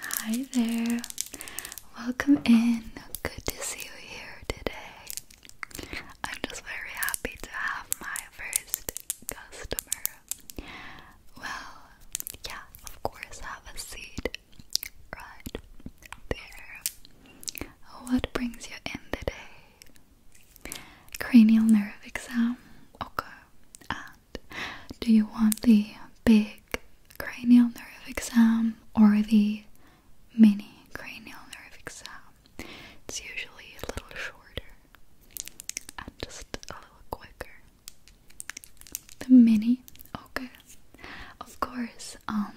Hi there, welcome in. Good to see you here today. I'm just very happy to have my first customer. Well, yeah, of course, have a seat right there. What brings you in today? cranial nerve exam. Okay. And do you want the big cranial nerve exam or the mini cranial nerve exam? It's usually a little shorter and just a little quicker. The mini, okay. Of course, um,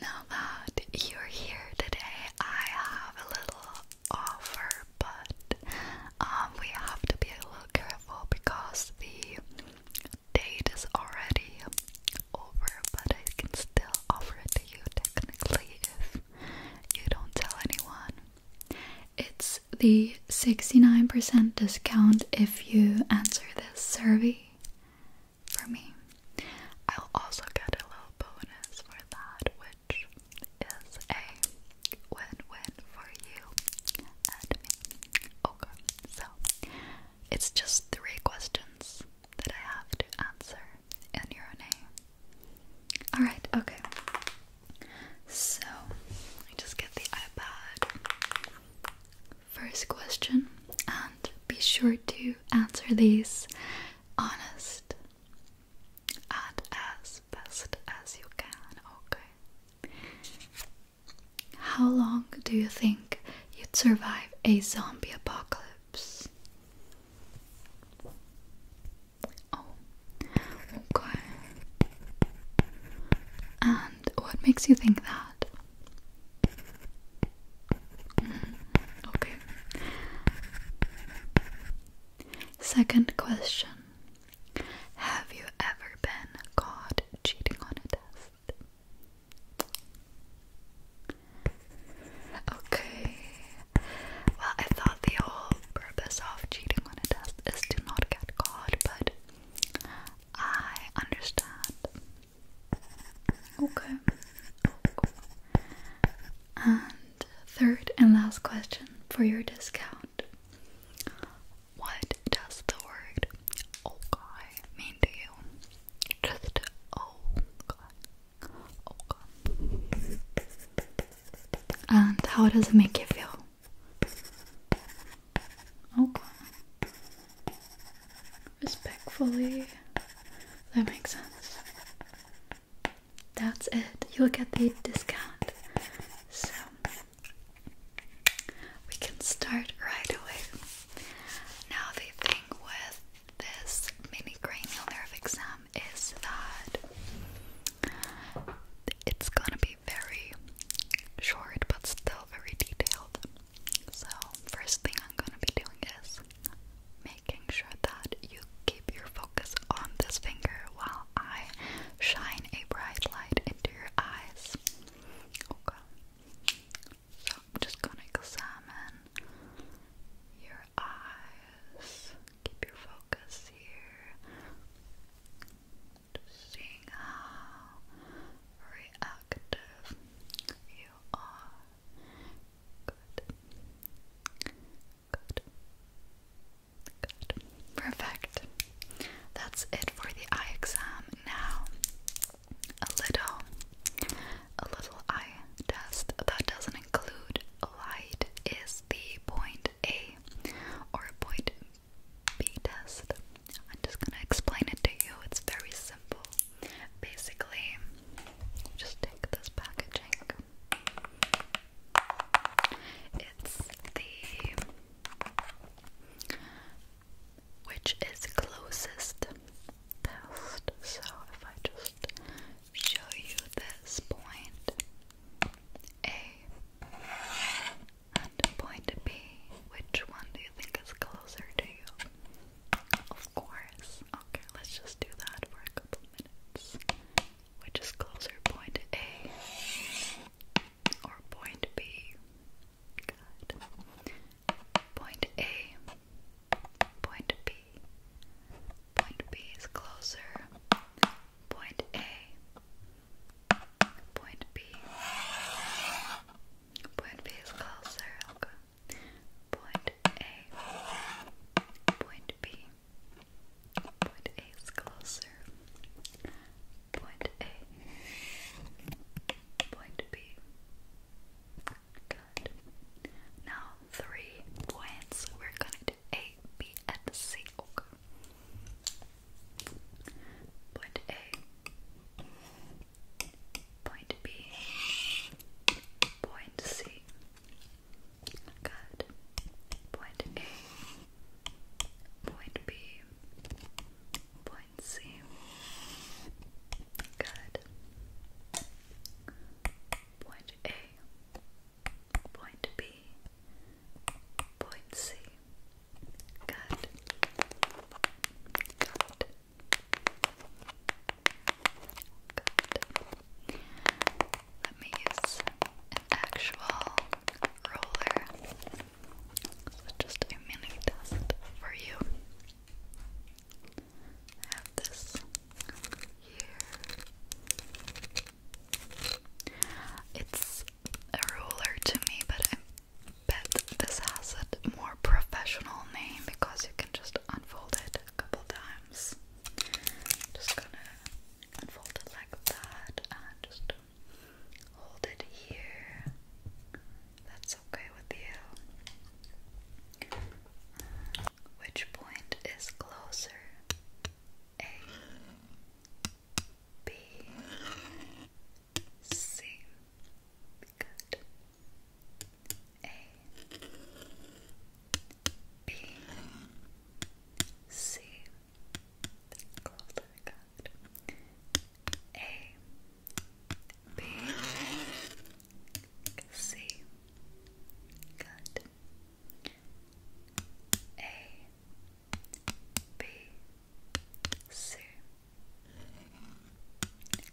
now that you're here today, I have a little offer, but um, we have to be a little careful because the date is already over, but I can still offer it to you technically if you don't tell anyone. It's the 69% discount if you answer this survey for me. I'll also get a little bonus for that, which is a win-win for you and me. Okay, oh, so it's just three questions that I have to answer in your name. Alright, okay. So, I just get the iPad first question and be sure to answer these honest and as best as you can, okay? How long do you think you'd survive a zombie apocalypse? Oh, okay. And what makes you think that? Okay. Second question Have you ever been caught cheating on a test? Okay. Well, I thought the whole purpose of cheating on a test is to not get caught, but I understand Okay. And third and last question for your discount. What does the word okay mean to you? Just okay. Okay. And how does it make you feel? Okay respectfully. That makes sense. That's it. You'll get the discount. So we can start right away. Now the thing with this mini cranial nerve exam is that it's gonna be very short but still very detailed. So, first thing I'm gonna be doing is making sure that you keep your focus on this finger while I shine a bright light into your eyes. Okay. So, I'm just gonna examine your eyes. Keep your focus here. seeing how reactive you are Good. Good. Good. Perfect. That's it for the eye exam. Now, a little, a little eye test that doesn't include a light is the point A or point B test. I'm just gonna explain it to you. It's very simple. Basically, just take this packaging. It's the which is closest test. So if I just show you this point A and point B, which one do you think is closer to you? Of course. Okay, let's just do that for a couple minutes. Which is closer, point A or point B? Good. Point A, point B. Point B is closer. Point A, point B. Point B is closer. Point A, point B. Point A is closer. Point A, point B. Good. Now three points. We're gonna do A, B, and C. Okay. Point A, point B, point C. Good. Point A, point B, point C. Good. Point A, point B, point C. Good. Good. Let me use an actual roller. just a mini test for you. have this here. It's a ruler to me, but I'm but this has a more professional name because you can just unfold it a couple times. Just gonna unfold it like that and just hold it here. That's okay with you. Which point is closer? A, B, C. Good. A B C closer cut A B C cut A B C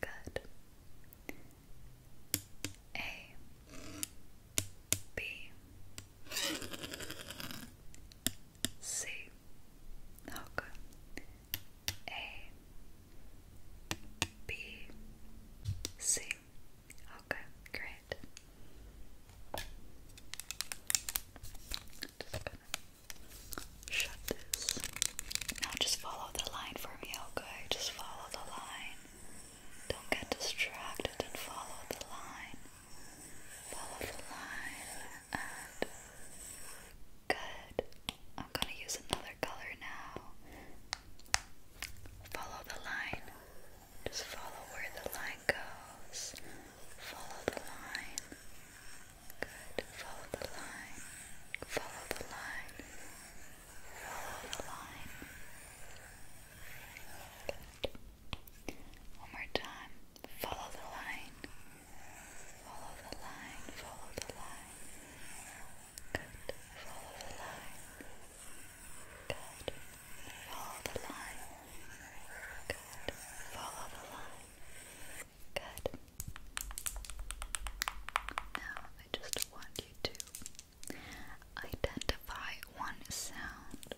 Good. A B C Hook A B C Okay, great. Just gonna Shut this. Now just follow the line for me, okay? Just follow the line. Don't get distracted and follow the line. Follow the line and good. I'm gonna use another color now. Follow the line. Just follow where the line goes. Follow the line. Good. Follow the line. Follow the line. Follow the line. Good. One more time. Follow the line. Follow the line. Follow the line. Good. Follow the line. Good. Follow the line. Good. Follow the line. Good. Now I just want you to identify one sound.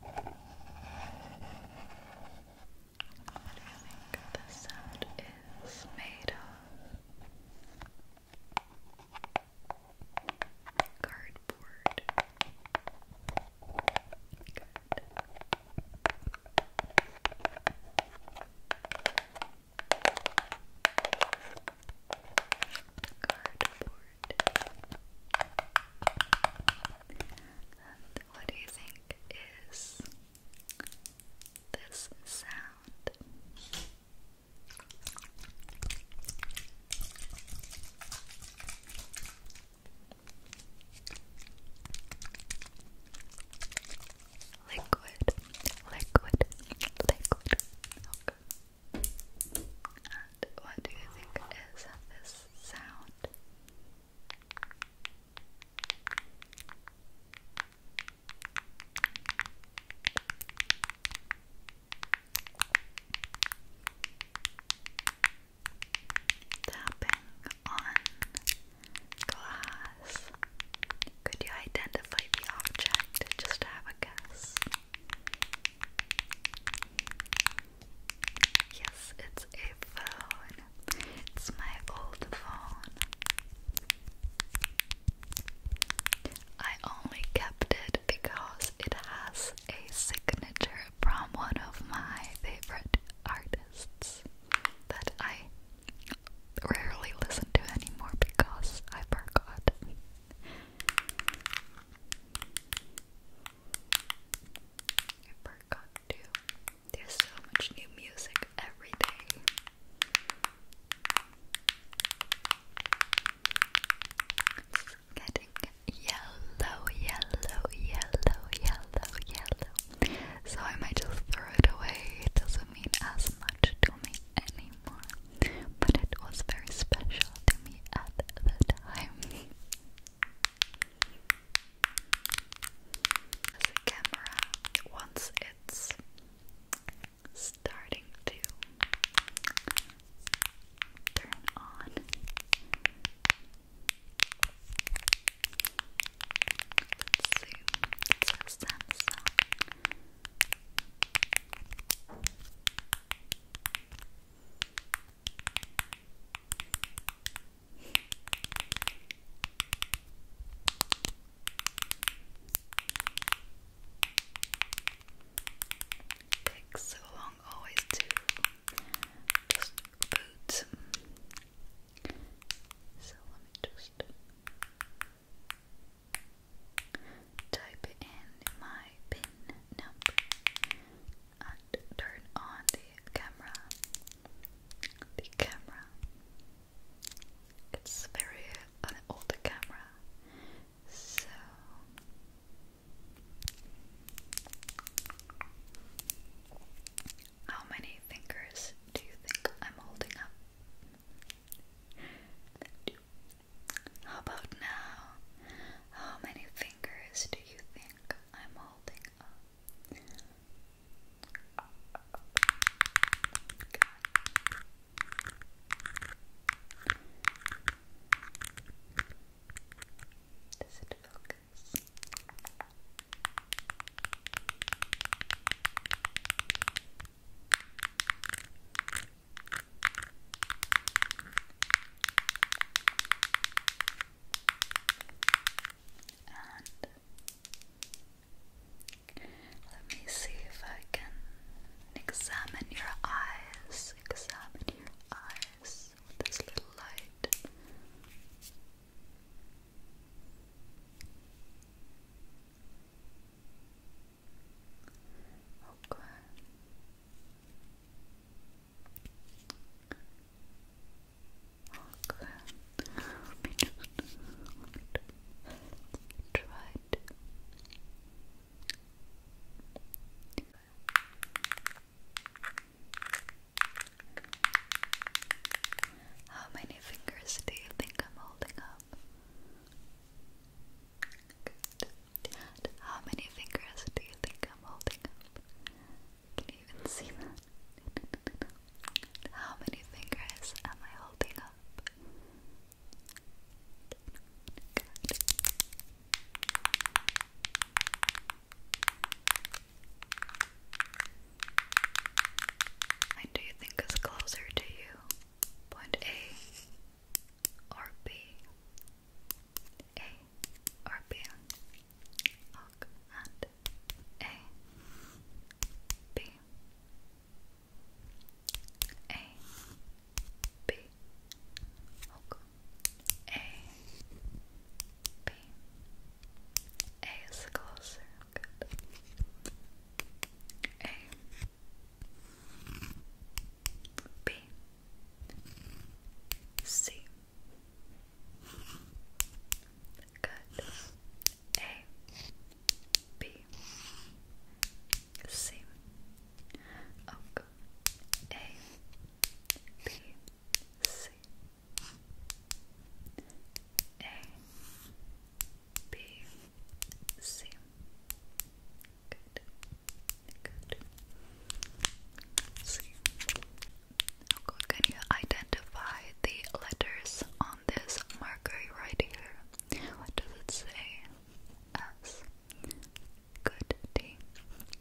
What do you think the sound is made of? Cardboard. Cardboard. what do you think is this sound. Liquid, liquid, liquid. Okay. And what do you think is this sound? Tapping on glass. Could you identify the object? Just have a guess. Yes, it's a phone. It's my old phone. I only kept it because it has a signature from one of my favorite artists that I rarely listen to anymore because I forgot. I forgot to there's so much new music every day. It's getting yellow, yellow, yellow, yellow, yellow. So I might just throw it away. It doesn't mean as much to me anymore. But it was very special to me at the time. As camera, once it's starting to turn on. Let's see. It says Samsung. Takes so long always to just boot. So let me just type in my pin number and turn on the camera. The camera. It's very an old camera, so how many fingers do you think I'm holding up? How about now? How many fingers do you think I'm holding um, does it focus? And let me see if I can examine your eyes. Examine your eyes with this little light. Okay. Okay. Let me just try it. How many fingers do you think I'm holding up? How many fingers do you think I'm holding up? Can you even see that? How many fingers am I holding up? Good. do you think is closer to you? Point A or B? A or B? Og and A B A B is closer. A B C Good. A, B, C. Okay. Oh, A, B, C. A, B, C. Good. Good. C. I'm going identify the letters on this marker right here. What does it say? S. Good D.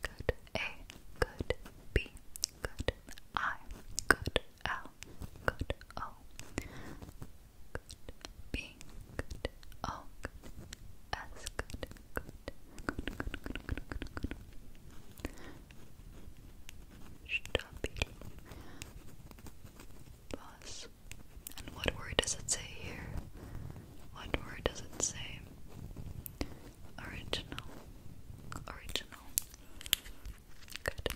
Good A. Good B. Good I. Good L. Good O. Good B. Good O. Good. Stop And what word does it say here? What word does it say? Original. Original. Good.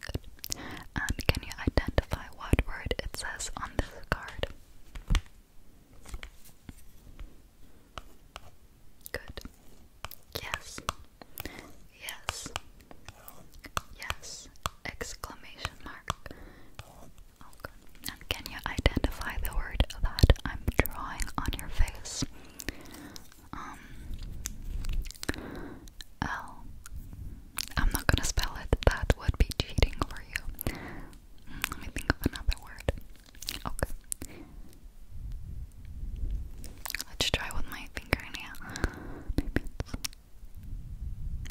Good. And can you identify what word it says on this card? Good. Yes. Yes. Yes. Exclamation mark. Oh, and can you identify the word that I'm drawing on your face? Um L. I'm not gonna spell it. That would be cheating for you. Mm, let me think of another word. Okay. Let's try with my fingernail. Maybe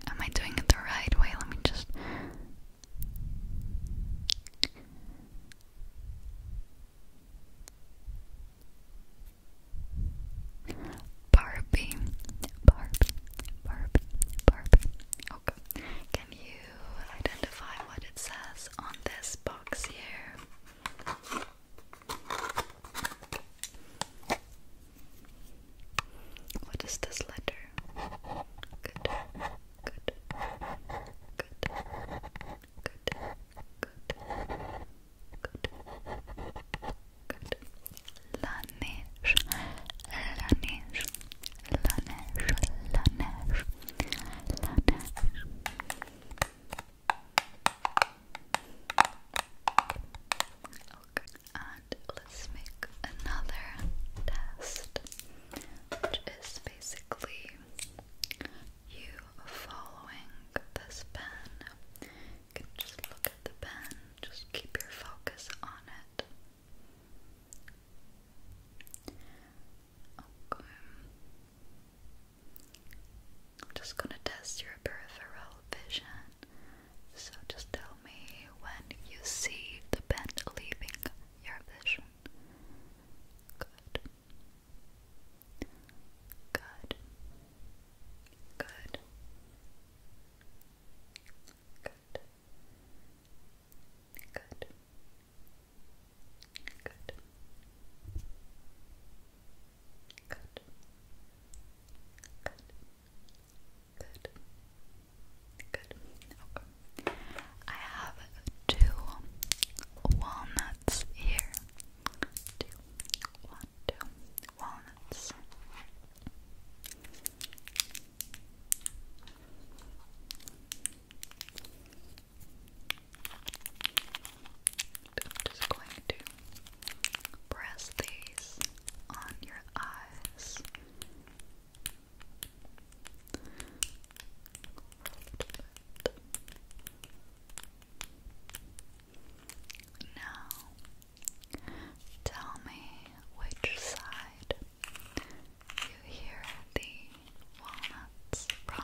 Am I doing it the right way? Let me just. Barbie, Barbie, Barbie, Barbie. Okay. Oh, Can you identify what it says on this box here? What is this letter? Good, good, good, good, good, good, good. La neige, la neige, la neige, la Okay, oh, and let's make another test, which is basically you following this pen. just look at the pen, just keep your focus on it. Okay. I'm just gonna test your peripheral vision. So just tell me when you see the bend leaving your vision. Good. Good. Good. Good. Good. Good. Good. Good. Good. Good. Okay. I have two walnuts here. Two, one, two walnuts. I'm just going to press these on your eyes. Now, tell me which side you hear the walnuts from.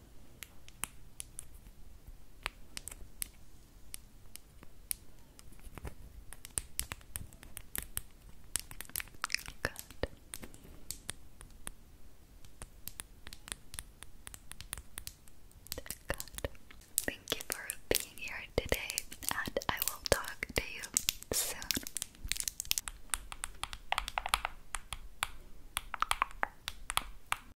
Good. Good. Thank you for being here today, and I will talk to you soon.